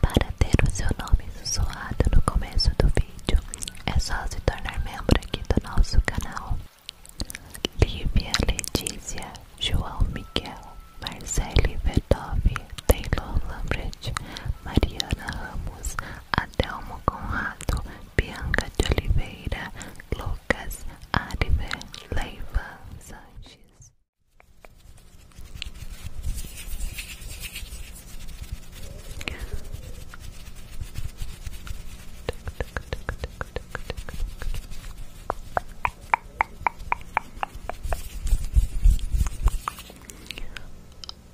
Para ter o seu nome sussurrado no começo do vídeo, é só se tornar membro aqui do nosso canal. Lívia, Letícia, João Miguel, Marcele Vedove, Taylor Lambert, Mariana Ramos, Adelmo Conrado, Bianca de Oliveira, Lucas, Ariver, Leiva Sanches.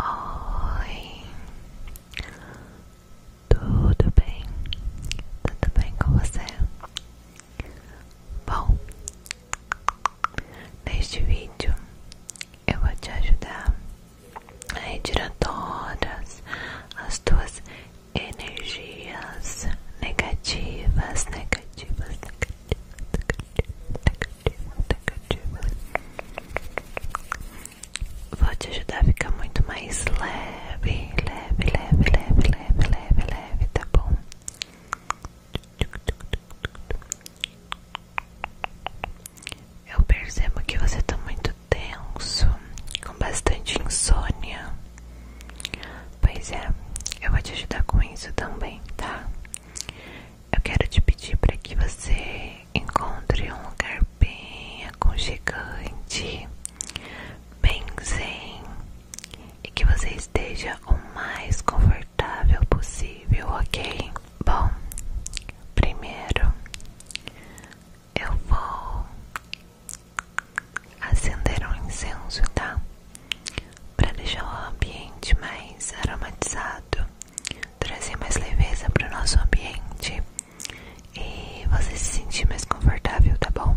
Oi, tudo bem? Tudo bem com você? Bom, Neste vídeo eu vou te ajudar a retirar todas as tuas energias negativas, negativas, negativas, Vou te ajudar a ficar muito mais leve, leve, leve, leve, leve, leve, leve, tá bom? Eu percebo que você tá muito tenso, com bastante insônia. Pois é, eu vou te ajudar com isso também, tá? Eu quero te pedir para que você encontre um lugar bem gigante bem zen, e que você esteja o mais confortável possível, ok? Bom, primeiro eu vou acender um incenso, tá? Para deixar o ambiente mais aromatizado, trazer mais leveza para o nosso ambiente e você se sentir mais confortável, tá bom?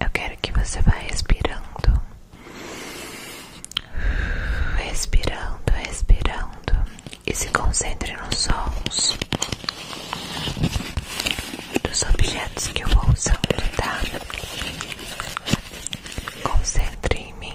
Eu quero que você vá respirando, respirando, respirando e se concentre nos sons dos objetos que eu vou usando, tá? Concentre em mim.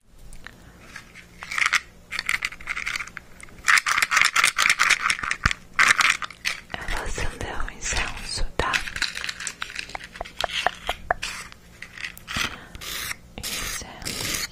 Eu vou em um incenso, tá? Incenso,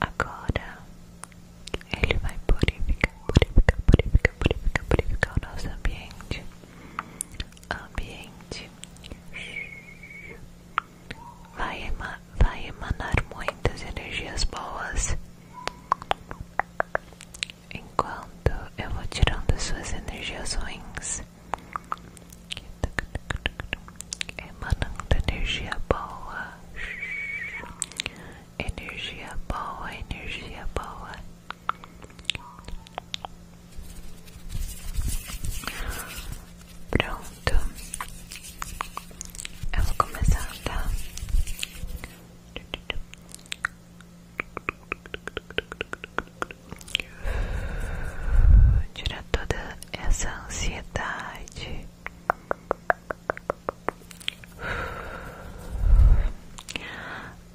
Agora ele vai purificar, purificar, purificar, purificar, purificar o nosso ambiente. Ambiente vai, emanar muitas energias boas. Enquanto eu vou tirando suas energias ruins, emanando energia boa, energia boa, energia boa. Pronto, eu vou começar, tá? Tirar toda essa ansiedade.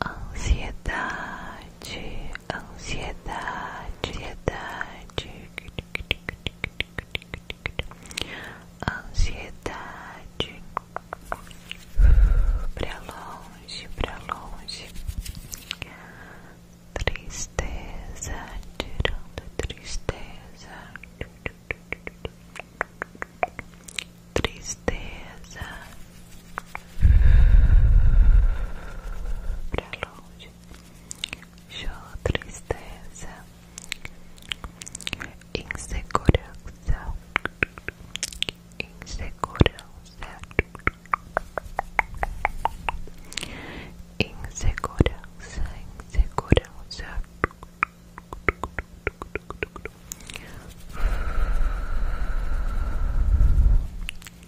Ansiedade, ansiedade, ansiedade ansiedade, pra longe, pra longe, tristeza, tristeza, tristeza, pra longe, show tristeza, insegurança, insegurança, insegurança, insegurança.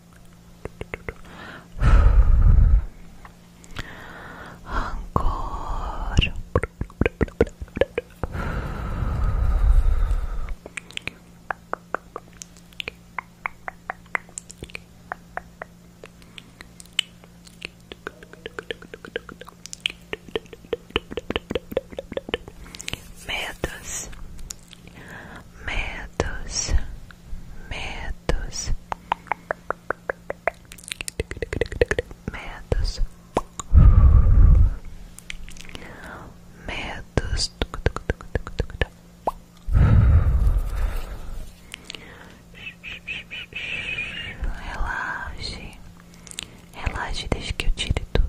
Rancor medos medos medos, medos, medos, relaxe, relaxe, deixa que eu tire tudo.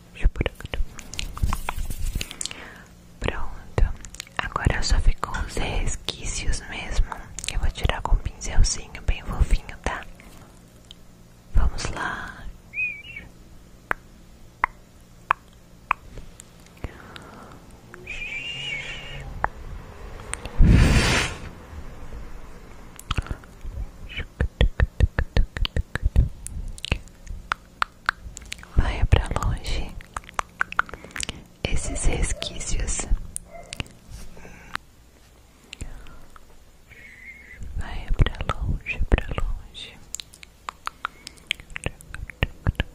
Pronto, agora só ficou os resquícios mesmo. Eu vou tirar com um pincelzinho bem fofinho, tá? Vamos lá. Vai pra longe esses resquícios. Vai pra longe, pra longe. Vai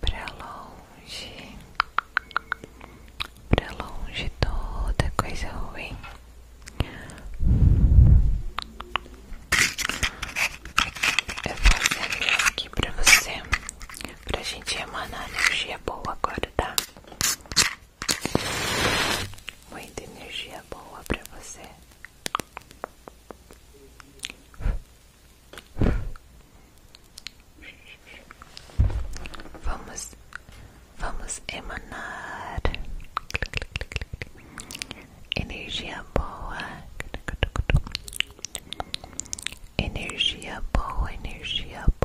Pra longe, pra longe toda coisa ruim. Eu vou fazer aqui pra você, pra gente emanar energia boa agora, tá? Muita energia boa pra você. Vamos, vamos emanar energia boa, energia boa, energia boa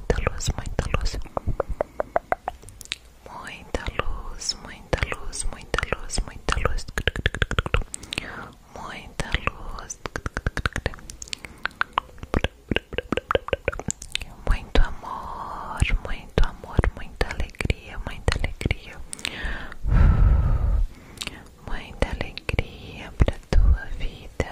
muita luz, muita luz. Muita luz, muita luz, muita luz, muita luz. Muita luz. Muito amor, muito amor, muita alegria, muita alegria. Muita alegria para tua vida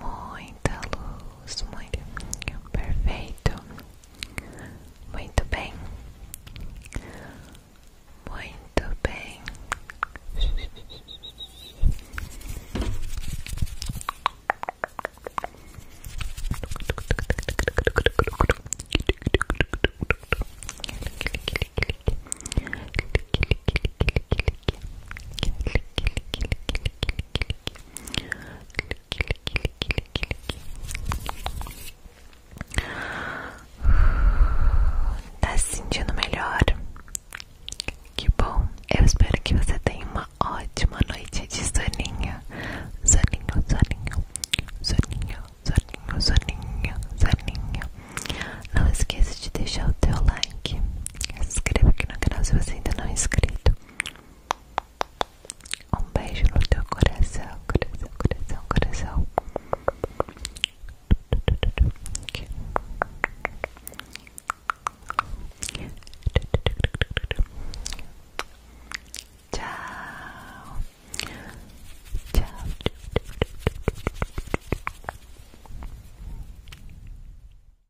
muita luz, muito perfeito, muito bem, muito bem. Tá se sentindo melhor? Que bom! Eu espero que você tenha uma ótima noite de soninho. Soninho, soninho, soninho, soninho, soninho, Não esqueça de deixar o teu like. Se inscreva aqui no canal se você ainda não é inscrito. Um beijo no teu coração, coração, coração, coração. Tchau. Tchau.